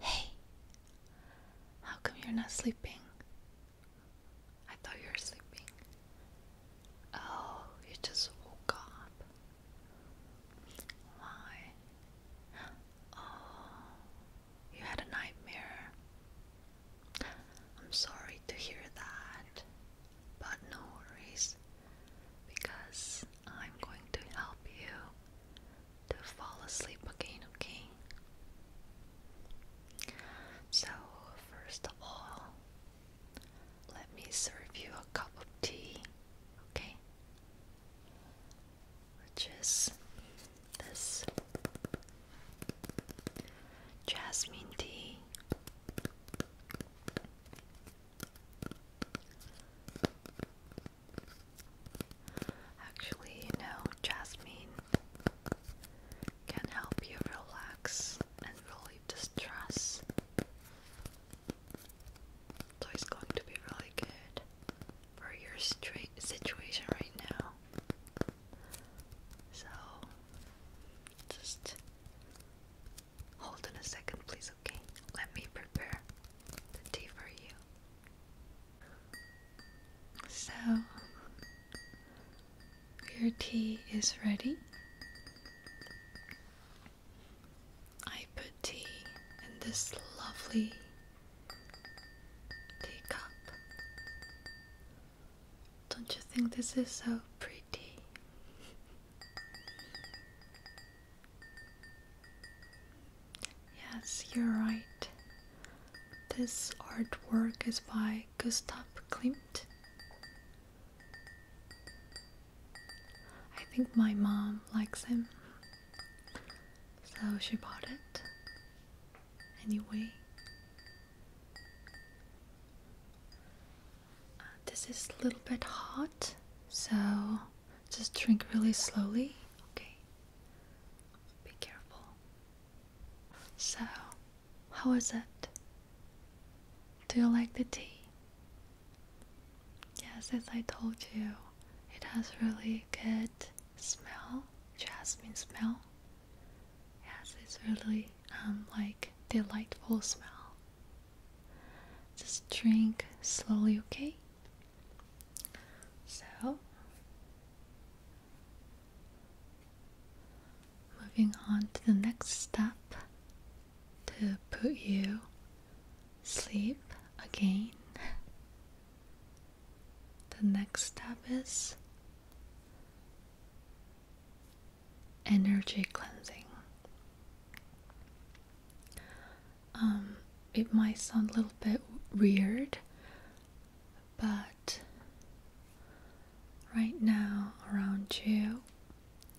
Hey, how come you're not sleeping? I thought you were sleeping. Oh, you just woke up. Why? Oh, you had a nightmare. I'm sorry to hear that, but no worries because I'm going to help you to fall asleep again, okay? So, first of all, let me serve you a cup of tea, okay? Which is this jasmine tea. Actually, you know, Jasmine can help you relax and relieve the stress. So it's going to be really good for your situation right now. So just hold on a second, please, okay? Let me prepare the tea for you. So, your tea is ready. I put tea in this lovely teacup. Don't you think this is so pretty? Yes, you're right. This artwork is by Gustav Klimt. I think my mom likes him, so she bought it. Anyway, uh, this is a little bit hot, so just drink really slowly, okay? Be careful. So, how was it? Do you like the tea? Yes, as I told you, it has really good smell, jasmine smell. Yes, it's really um like delightful smell. Just drink slowly, okay? So, moving on to the next step to put you sleep again. The next step is energy cleansing. Um, it might sound a little bit weird, but right now around you,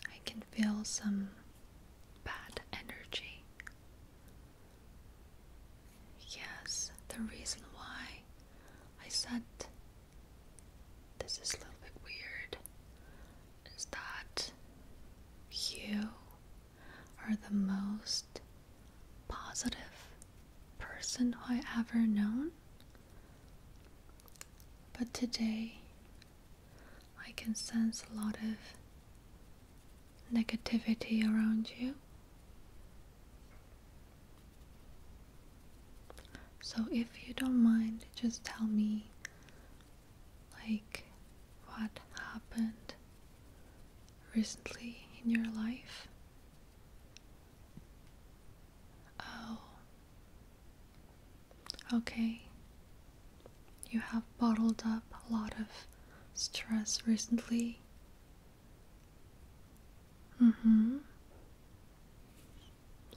I can feel some bad energy. Yes, the reason why I said this is a little bit weird is that you are the most positive person I ever known. But today, I can sense a lot of negativity around you. So, if you don't mind, just tell me like what happened recently in your life? Oh, okay. You have bottled up a lot of stress recently. Mm hmm.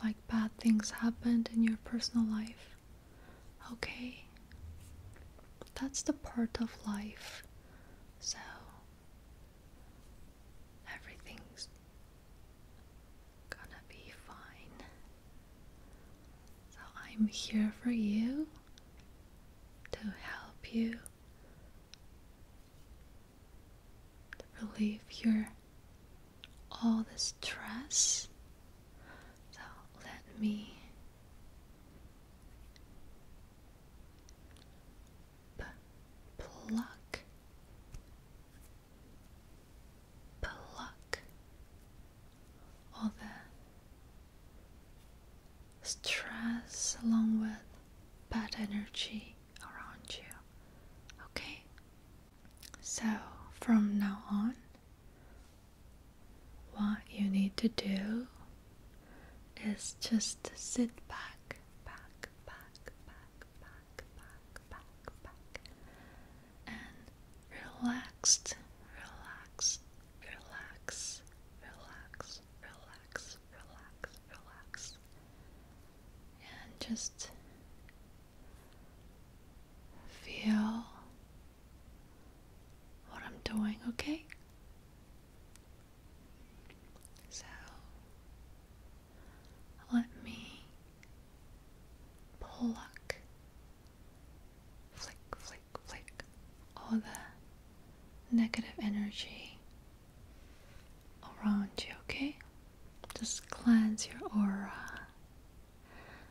Like bad things happened in your personal life. Okay, that's the part of life. So everything's gonna be fine. So I'm here for you to help you to relieve your all the stress so let me pluck, pluck all the stress along with bad energy around you. Okay, so from now on. What you need to do is just sit back, back, back, back, back, back, back, back, and relaxed, relax, relax, relax, relax, relax, relax, and just feel what I'm doing, okay? So let me pluck, flick, flick, flick all the negative energy around you, okay? Just cleanse your aura.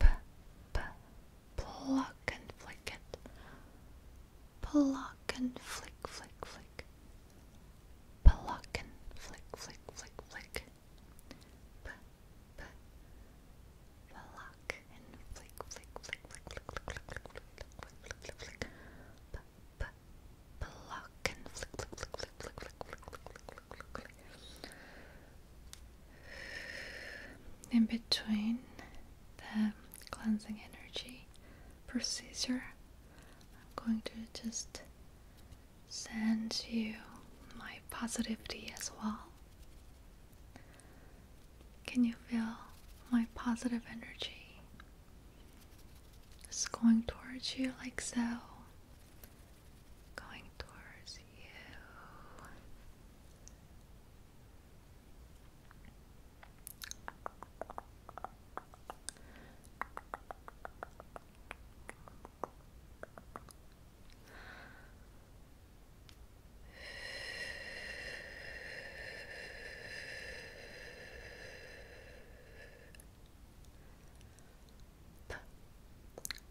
P, p, pluck and flick it. Pluck and flick, flick, flick. Pluck and flick, flick, flick, flick. P, p, pluck and flick, flick, flick, flick, flick, flick, flick, flick, flick, flick, flick. P, p, pluck and flick, flick, flick, flick, flick, flick, flick, flick, flick, flick, flick in between the cleansing energy procedure, I'm going to just send you my positivity as well. Can you feel my positive energy? Just going towards you like so. Going towards you. P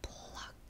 pluck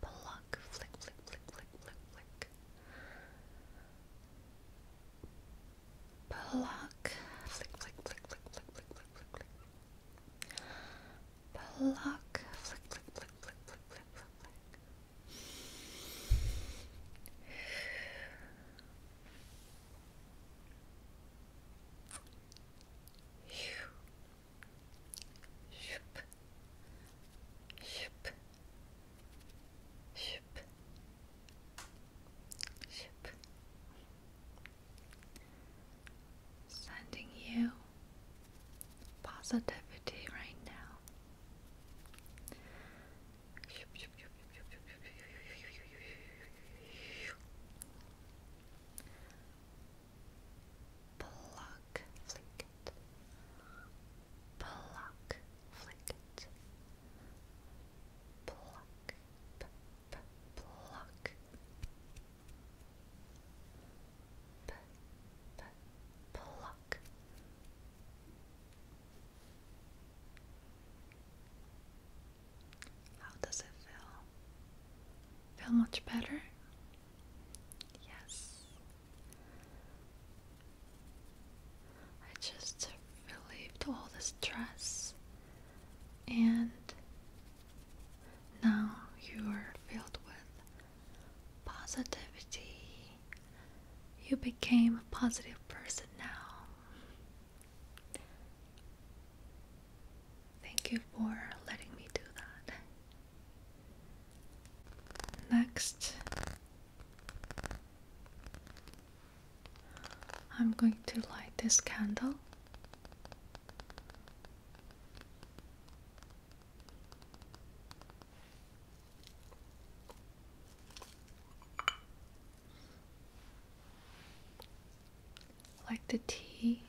pluck, flick, flick, flick, flick, flick, flick. Pluck, flick, flick, flick, flick, flick, flick, flick, flick, flick. Pluck, flick, flick, flick, flick, flick, flick, flick, flick. Phew. Shoop. Shoop. Shoop. Shoop. Sending you positivity right now pluck, flick it, pluck, flick it, pluck, p -p pluck, p pluck. How does it feel? Feel much better? Yes. I just relieved all the stress, and now you are filled with positivity. You became a positive person now. Thank you for letting me do that. Next, I'm going to light this candle like the tea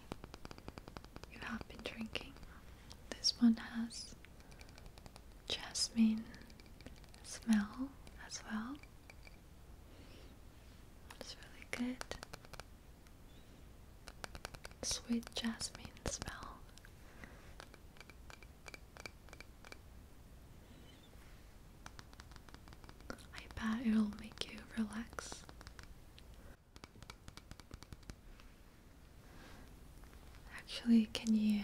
you have been drinking. This one has jasmine smell as well. It's really good. Sweet jasmine smell. I bet it'll make you relax. Actually, can you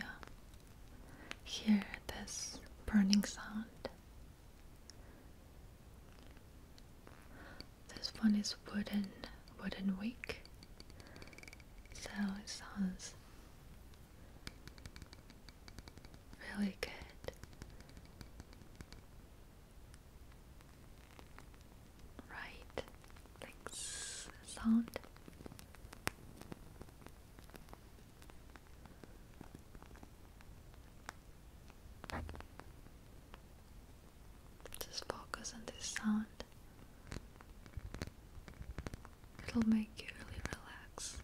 hear this burning sound? This one is wooden, wooden wick, so it sounds really good right like sound just focus on this sound it'll make you really relax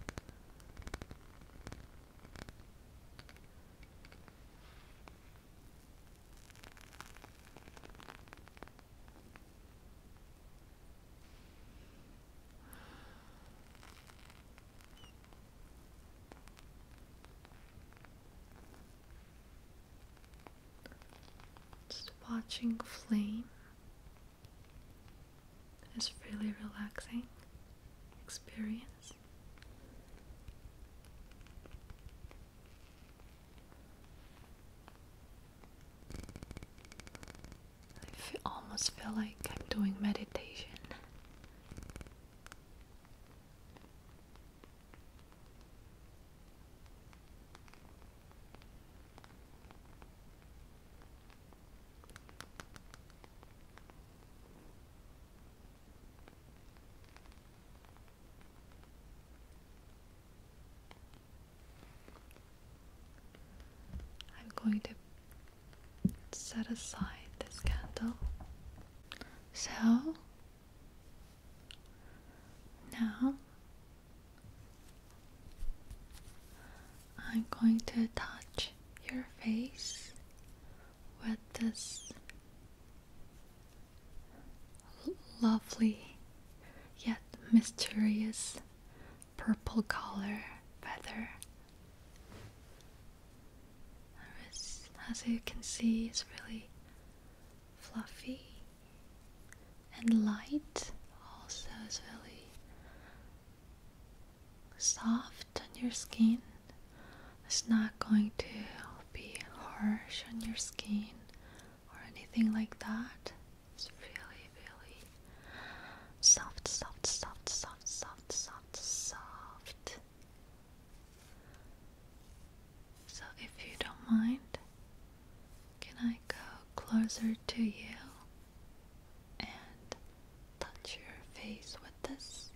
just watching flame is really relaxing experience. I almost feel like I'm doing meditation. I'm going to set aside this candle. So now I'm going to touch your face with this lovely yet mysterious purple color feather. As, you can see, it's really fluffy and light. Also, is really soft on your skin it's not going to be harsh on your skin or anything like that. It's really, really soft, soft, soft, soft, soft, soft, So, if you don't mind, can I go closer to you and touch your face with this?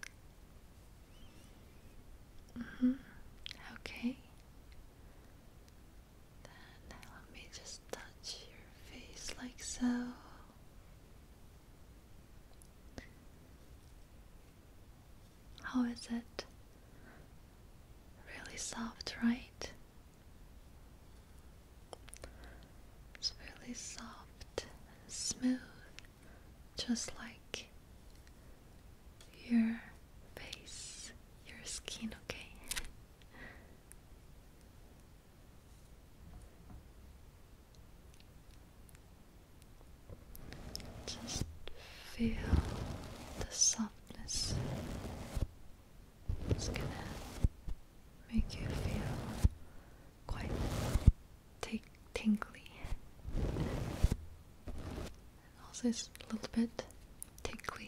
Mm -hmm. Okay. Then let me just touch your face like so. How is it? Really soft, right? It's really soft and smooth just like your face, your skin, okay? Just feel the softness. It's gonna make you feel quite tingly also it's a little bit tickly.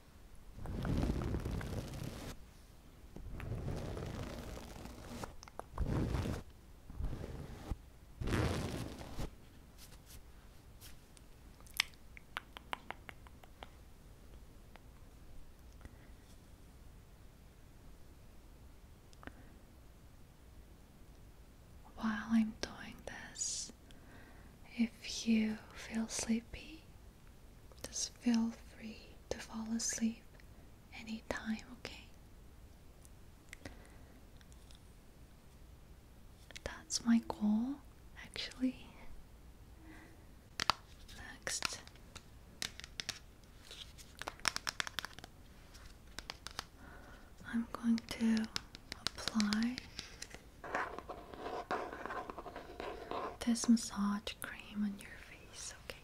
While I'm doing this, if you feel sleepy, just feel free to fall asleep anytime, okay? That's my goal, actually. Next. I'm going to apply this massage cream on your face, okay?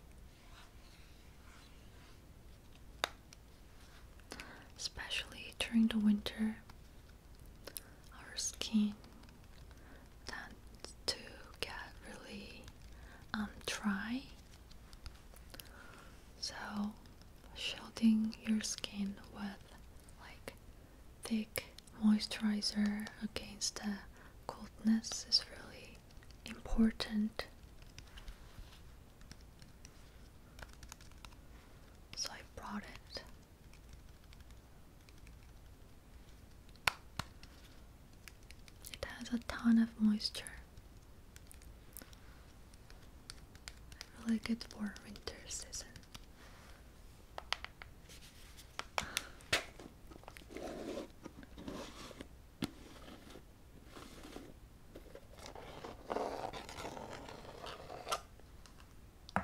Especially during the winter, our skin tends to get really um, dry. So, shielding your skin with like thick moisturizer against the coldness is really important. So I brought it. It has a ton of moisture. Really good for winter season.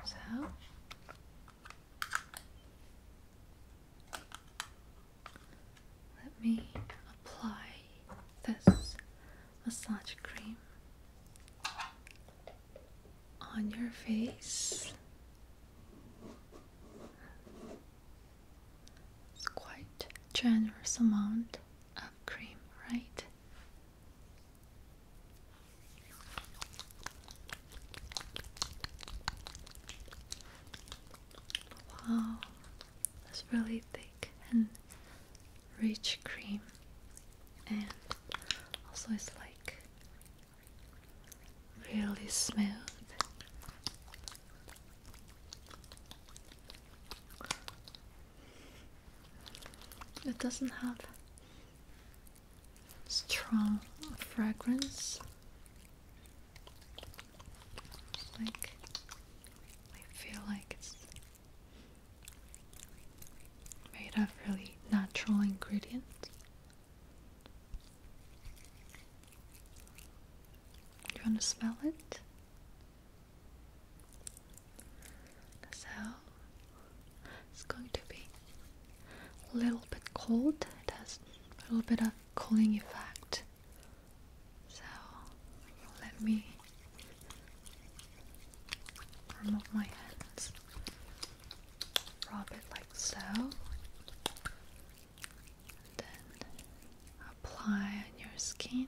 So let me apply this massage cream on your face it's quite generous amount of cream, right? Wow, that's really thick and rich cream, and also it's like really smooth. It doesn't have strong fragrance like I feel like it's made of really natural ingredients you want to smell it? So it's going to be a little bit cold. It has a little bit of cooling effect. So let me remove my hands rub it like so, then apply on your skin.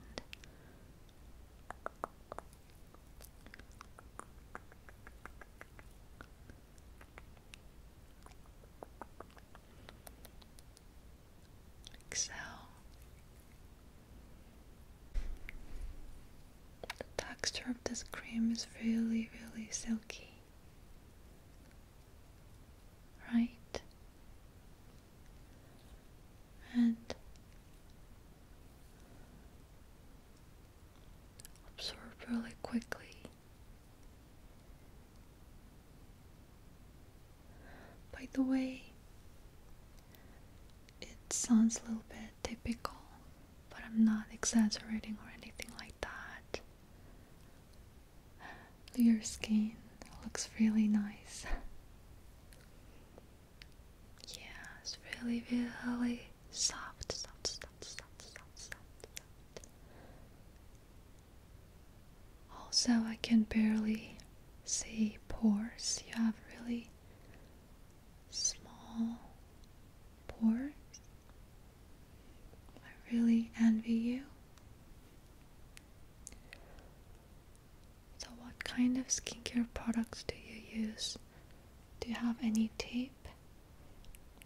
Like The texture of this cream is really, really silky right? And absorb really quickly. By the way, it sounds a little bit typical, but I'm not exaggerating or anything like that. Your skin looks really nice. yeah, it's really, really soft, soft, soft, soft, soft, soft, soft. Also, I can barely see pores. You have really small pores. I really envy you. So, what kind of skincare products do you use? Do you have any tape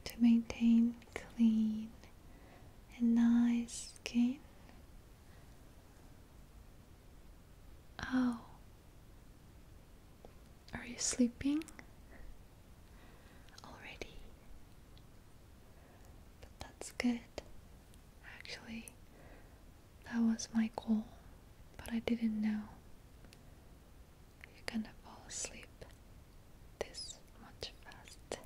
to maintain clean and nice skin? Oh, are you sleeping? already. But that's good. Actually, that was my goal, but I didn't know you're gonna fall asleep this much fast.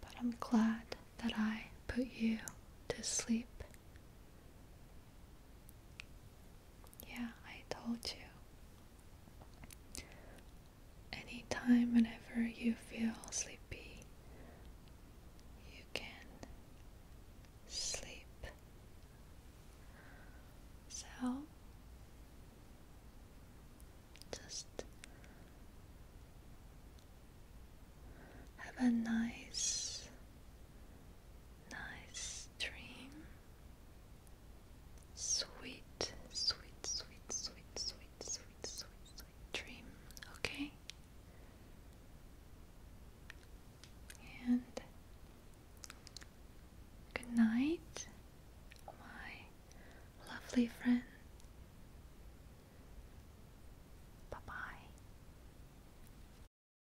But I'm glad that I put you to sleep yeah, I told you. Anytime, whenever you feel sleepy, you can sleep. So, just have a nice Nice dream. Sweet, sweet, sweet, sweet, sweet, sweet, sweet, sweet dream. Okay. And good night, my lovely friend. Bye bye.